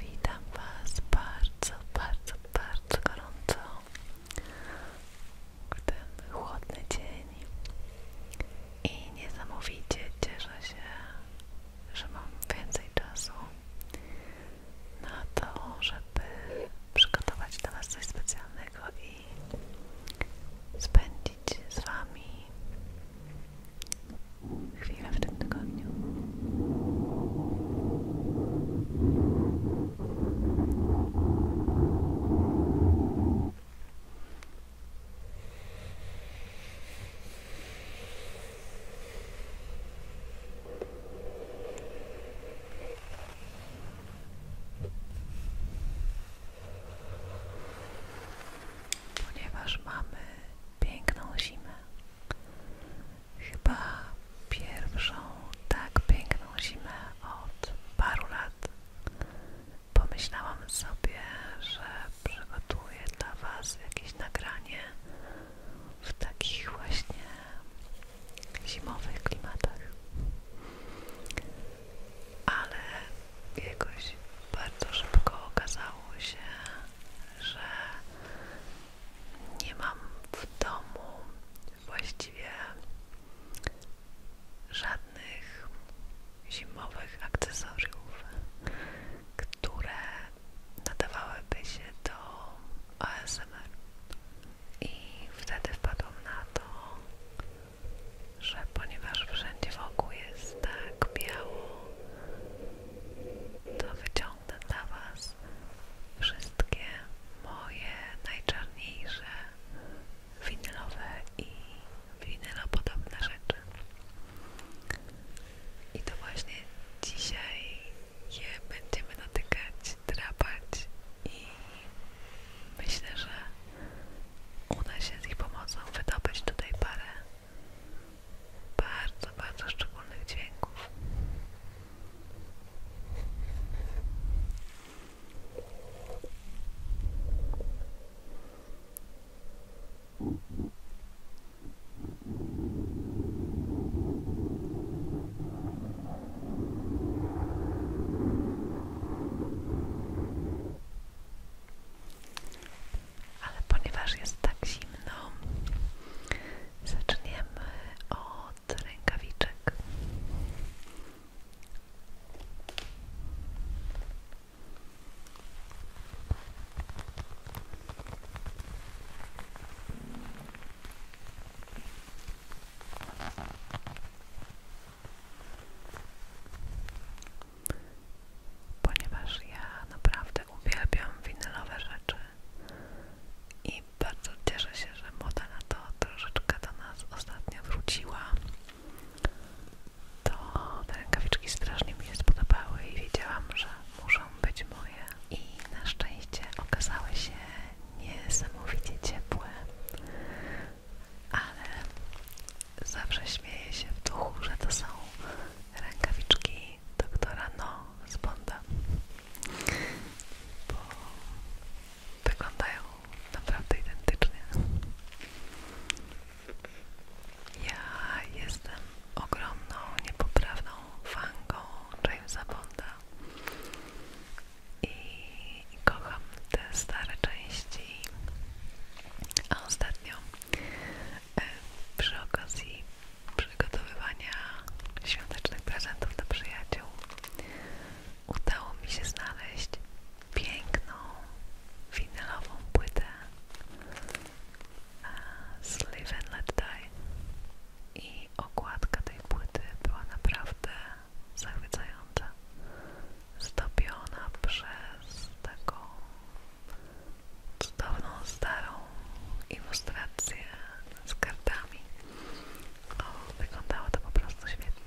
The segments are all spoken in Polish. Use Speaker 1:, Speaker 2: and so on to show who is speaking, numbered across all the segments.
Speaker 1: Witam Was bardzo, bardzo, bardzo gorąco w ten chłodny dzień i niesamowicie cieszę się, że mam więcej czasu na to, żeby przygotować dla Was coś specjalnego i spędzić z Wami chwilę w tym tygodniu. Ponieważ mamy piękną zimę, chyba pierwszą tak piękną zimę od paru lat, pomyślałam sobie, że przygotuję dla Was jakieś nagranie w takich właśnie zimowych klimatach, ale jakoś bardzo szybko okazało się, że nie mam w domu właściwie żadnych zimowych akcesoriów, które nadawałyby się do ASMR. I wtedy wpadłam na to, że ponieważ wszędzie wokół jest tak biało, to wyciągnę dla Was wszystkie moje najczarniejsze winylowe i winylopodobne rzeczy. I to właśnie dzisiaj je będziemy dotykać drapać i myślę, że uda się z ich pomocą wydobyć tutaj parę bardzo, bardzo szczególnych dźwięków. Ale ponieważ jest tak zimno, zaczniemy od rękawiczek. Ponieważ ja naprawdę uwielbiam winylowe rzeczy i bardzo cieszę się, że moda na to troszeczkę do nas ostatnio wróciła. To te rękawiczki strasznie mi się spodobały i wiedziałam, że muszą być moje. I na szczęście okazały się niesamowicie ciepłe, ale zawsze śmieję się w duchu, że to są rękawiczki doktora No z Bonda, bo wyglądają naprawdę identycznie. Ja jestem ogromną, niepoprawną fanką Jamesa Bonda i kocham te stare części. A ostatnio e, przy okazji przygotowywania świątecznych prezentów dla przyjaciół udało mi się znaleźć piękną winylową płytę z e, Live and Let Die i okładka tej płyty była naprawdę zachwycająca, zdobiona przez taką cudowną, starą ilustrację z kartami. O, wyglądało to po prostu świetnie.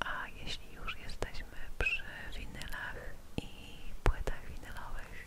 Speaker 1: A jeśli już jesteśmy przy winylach i płytach winylowych,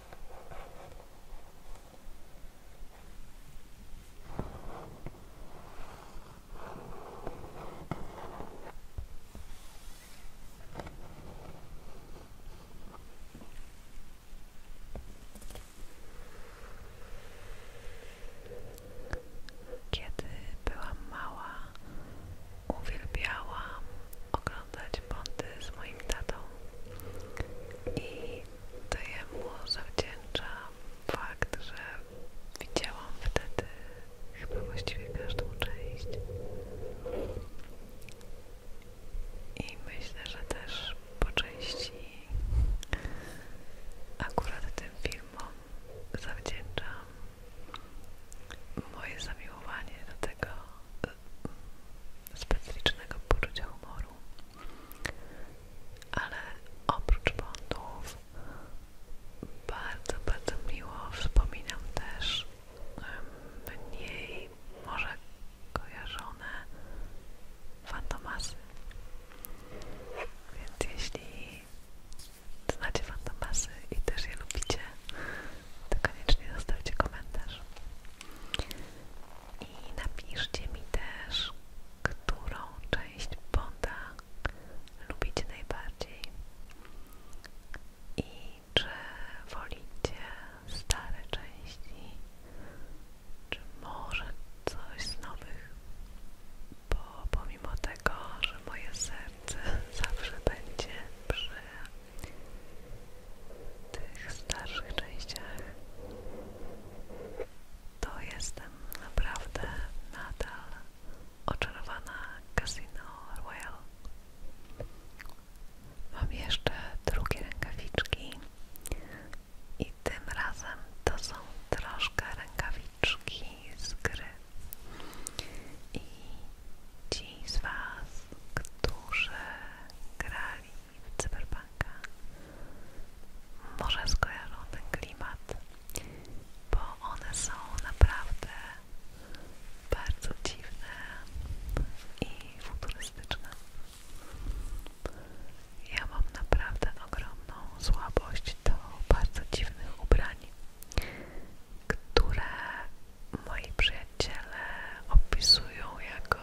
Speaker 1: Kiedy byłam mała, uwielbiałam oglądać bądy z moim tatą i to jemu zawdzięczam fakt, że widziałam wtedy chyba właściwie każdą część i myślę, że też po części akurat tym filmom zawdzięczam moje zamiłowanie do tego specyficznego poczucia humoru, ale oprócz bądów bardzo, bardzo miło wspominam też mniej może kojarzone fantomasy. Więc jeśli znacie fantomasy i też je lubicie, to koniecznie zostawcie komentarz. I napiszcie mi też, którą część Bonda lubicie najbardziej i czy wolicie stare części, czy może coś z nowych, bo pomimo tego, że moje serce zawsze będzie przy tych starszych częściach, to jestem naprawdę nadal oczarowana Casino Royale. Mam jeszcze drugie rękawiczki i tym razem to są troszkę rękawiczki z gry. I ci ci z Was, którzy grali w Cyberpunka, może skojarzą ten klimat, bo one są naprawdę bardzo dziwne i futurystyczne. Ja mam naprawdę ogromną słabość do bardzo dziwnych ubrań, które moi przyjaciele opisują jako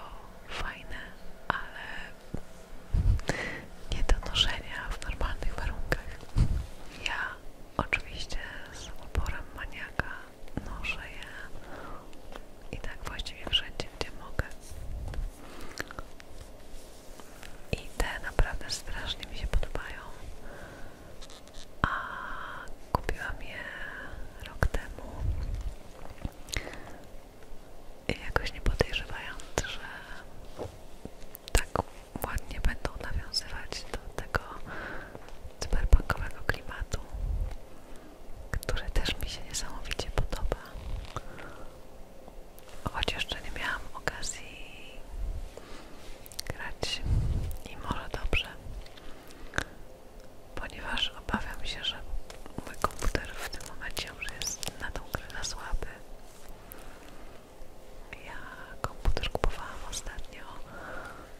Speaker 1: fajne, ale nie do noszenia w normalnych warunkach. Ja oczywiście z uporem maniaka noszę je i tak właściwie wszędzie, gdzie mogę. I te naprawdę strasznie mi się podobają a kupiłam je rok temu i jakoś nie podejrzewając, że tak ładnie będą nawiązywać do tego cyberpunkowego klimatu, który też mi się niesamowicie podoba. Choć jeszcze nie miałam okazji grać i może dobrze, ponieważ obawiam się, że mój komputer w tym momencie już jest na tą grę słaby. Ja komputer kupowałam ostatnio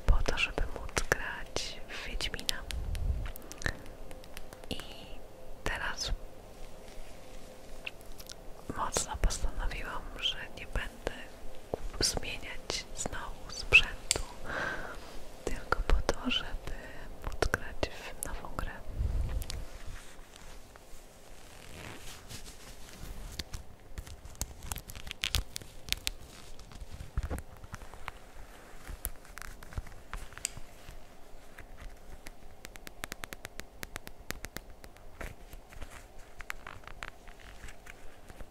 Speaker 1: po to, żeby móc grać w Wiedźmina. I teraz mocno postanowiłam, że nie będę zmieniać znowu sprzętu tylko po to, żeby móc nową grę.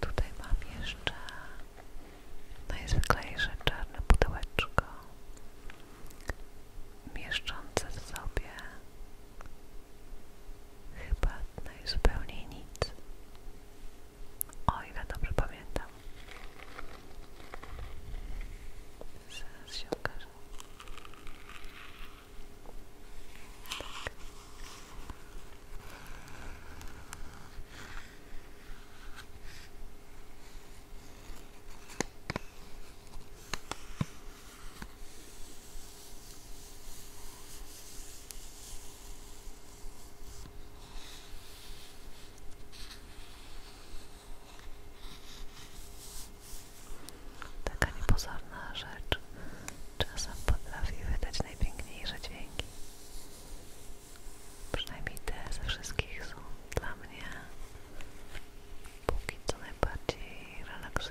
Speaker 1: Tutaj mam jeszcze najzwyklejsze no czarne pudełeczko mieszczące w sobie chyba najzupełniej nic. O ile dobrze pamiętam. Zaraz się okaże. Tak. Taka niepozorna rzecz czasem potrafi wydać najpiękniejsze dźwięki. Przynajmniej te ze wszystkich są dla mnie póki co najbardziej relaksujące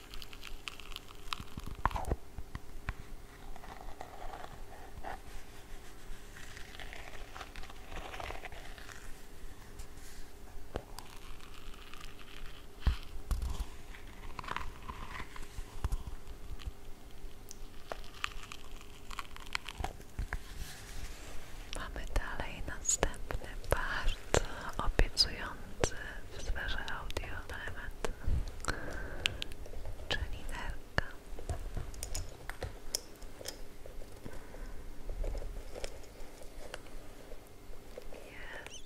Speaker 1: Mamy dalej następny bar bardzo obiecujący w sferze audio element, czyli nerka. Jest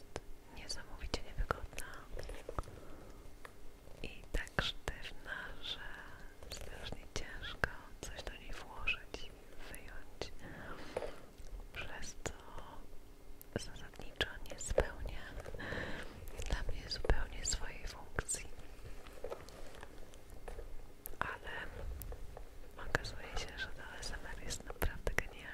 Speaker 1: niesamowicie niewygodna i tak sztywna, że strasznie ciężko coś do niej włożyć, wyjąć przez co zasadniczo nie spełnia dla mnie zupełnie swojej funkcji. Ale okazuje się, że ta ASMR jest naprawdę genialna.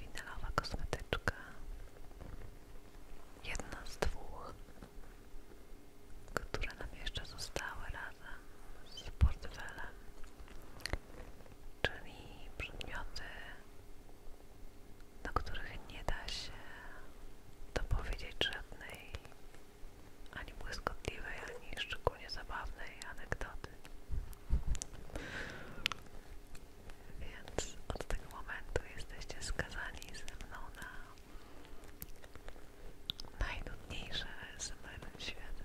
Speaker 1: Winylowa kosmetyczka, jedna z dwóch, które nam jeszcze zostały razem z portfelem, czyli przedmioty na których nie da się dopowiedzieć żadnej ani błyskotliwej, ani szczególnie zabawnej anegdoty. Więc od tego momentu jesteście skazani ze mną na najnudniejsze smyrne światy.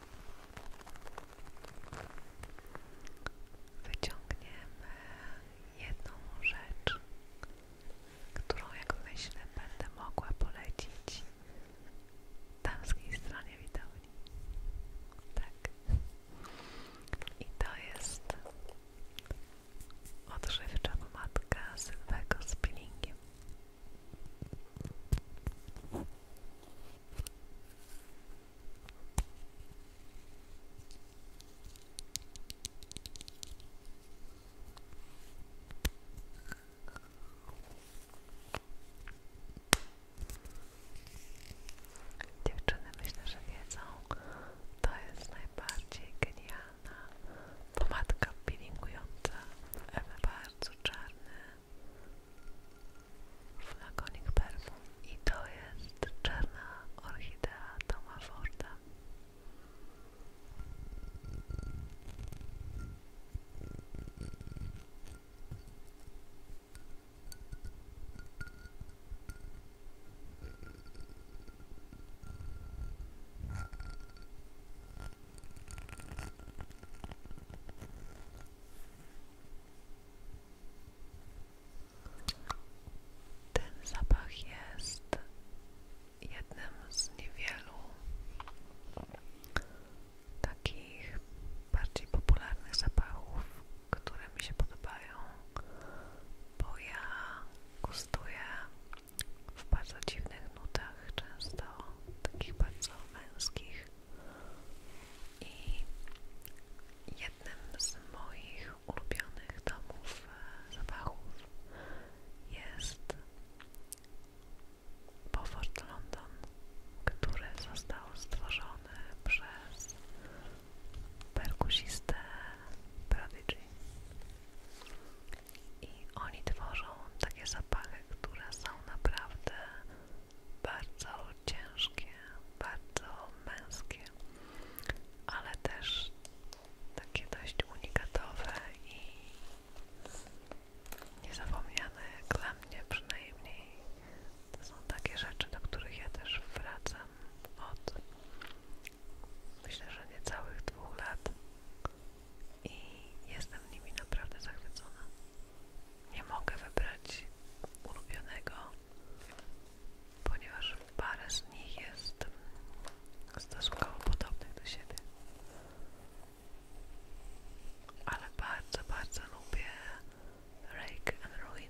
Speaker 1: Wyciągniemy jedną rzecz, którą jak myślę będę mogła polecić damskiej stronie widowni. Tak. I to jest odżywcza pomadka Sylwego z peelingiem. Dziewczyny myślę, że wiedzą, to jest najbardziej genialna pomadka peelingująca, bardzo czarny flakonik perfum i to jest czarna orchidea Toma Forda ten zapach jest jednym z niewielu takich bardziej popularnych zapachów, które mi się podobają, bo ja gustuję w bardzo dziwnych nutach, często takich bardzo męskich. I jednym z moich ulubionych domów e, zapachów jest Beaufort London, który został stworzony przez perkusistę Prodigy. I oni tworzą takie zapachy, które są naprawdę bardzo ciężkie, bardzo męskie, ale też takie dość unikatowe i niezapomniane dla mnie przynajmniej. To są takie rzeczy, do których ja też wracam od myślę, że niecałych dwóch lat i jestem nimi naprawdę zachwycona nie mogę wybrać ulubionego, ponieważ parę z nich jest stosunkowo podobnych do siebie. Ale bardzo, bardzo lubię Rake and Ruin.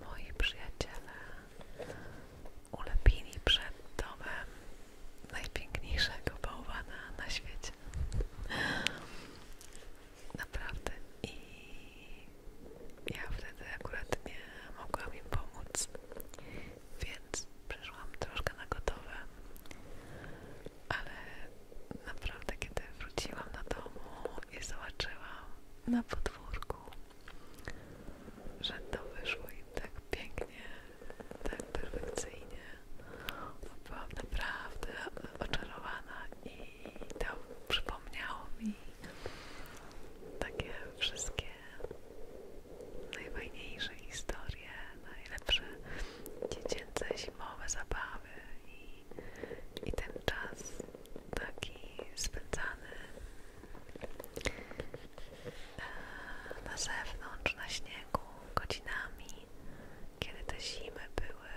Speaker 1: moi przyjaciele ulepili przed domem najpiękniejszego bałwana na świecie. Naprawdę. I ja wtedy akurat nie mogłam im pomóc, więc przyszłam troszkę na gotowe, ale naprawdę kiedy wróciłam do domu i zobaczyłam na podwórku, że to wyszło im tak pięknie, tak perfekcyjnie. Byłam naprawdę oczarowana i to przypomniało mi takie wszystkie najfajniejsze historie, najlepsze dziecięce zimowe zabawy i, i ten czas taki spędzany na zewnątrz, na śniegu, godzinami, kiedy te zimy były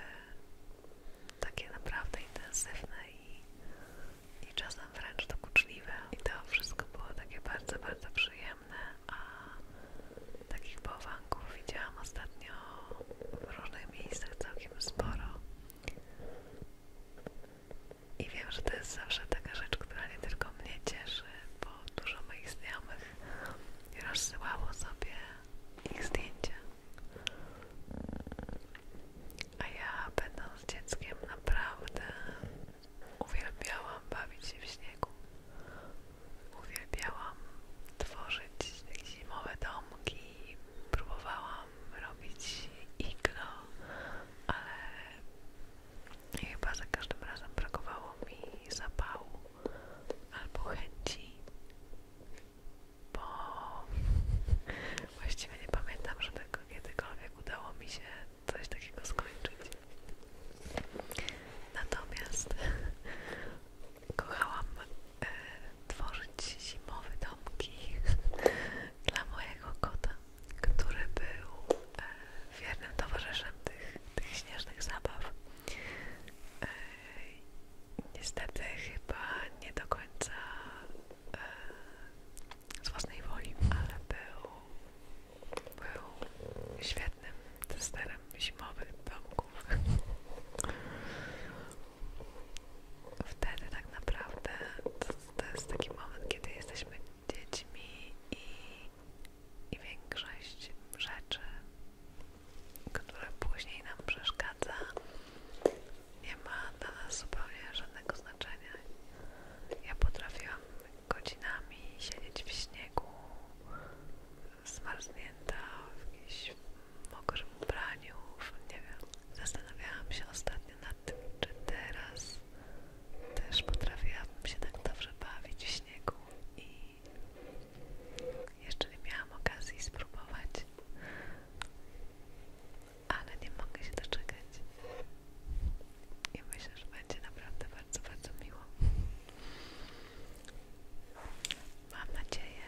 Speaker 1: takie naprawdę intensywne i, i czasem wręcz dokuczliwe. Tak I to wszystko było takie bardzo, bardzo przyjemne, a takich bałwanków widziałam ostatnio w różnych miejscach całkiem sporo. I wiem, że to jest zawsze taka rzecz, która nie tylko mnie cieszy, bo dużo moich znajomych rozsyłało sobie ich zdjęcia. A ja będąc dzieckiem naprawdę uwielbiałam bawić się w śniegu. Uwielbiałam tworzyć zimowe domki, próbowałam robić igno, ale chyba za każdym razem brakowało mi zapału albo chęci, bo właściwie nie pamiętam, że tego kiedykolwiek udało mi się coś takiego skończyć. Natomiast kochałam e, tworzyć zimowe domki dla mojego kota, który był e, wiernym towarzyszem tych, śnieżnych zabaw. E, niestety chyba nie do końca e, z własnej woli, ale był świetnym testerem zimowych domków wtedy tak naprawdę to, to jest taki moment, kiedy jesteśmy dziećmi i, większość rzeczy, które później nam przeszkadza, nie ma dla nas zupełnie żadnego znaczenia. Ja potrafiłam godzinami siedzieć w śniegu, zmarznięta w jakimś mokrym ubraniu, nie wiem. Zastanawiałam się ostatnio, właśnie nad tym, czy teraz też potrafiłabym się tak dobrze bawić w śniegu i jeszcze nie miałam okazji spróbować, ale nie mogę się doczekać i myślę, że będzie naprawdę bardzo, bardzo miło. Mam nadzieję,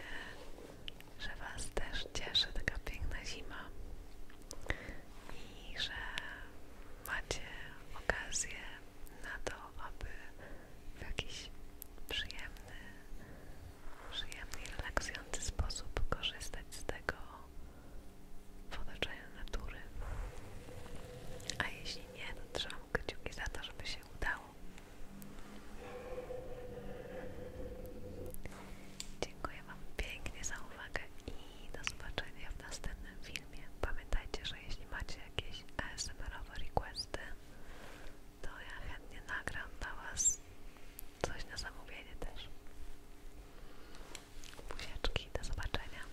Speaker 1: że Was też cieszy taka piękna zima i że macie okazję na to, aby w jakiś przyjemny, przyjemny i relaksujący sposób korzystać z tego w otoczeniu natury. A jeśli nie, to trzymam kciuki za to, żeby się udało. Dziękuję Wam pięknie za uwagę i do zobaczenia w następnym filmie. Pamiętajcie, że jeśli macie jakieś ASMR-owe requesty, to ja chętnie nagram dla Was coś na zamówienie też. Buziaczki, do zobaczenia.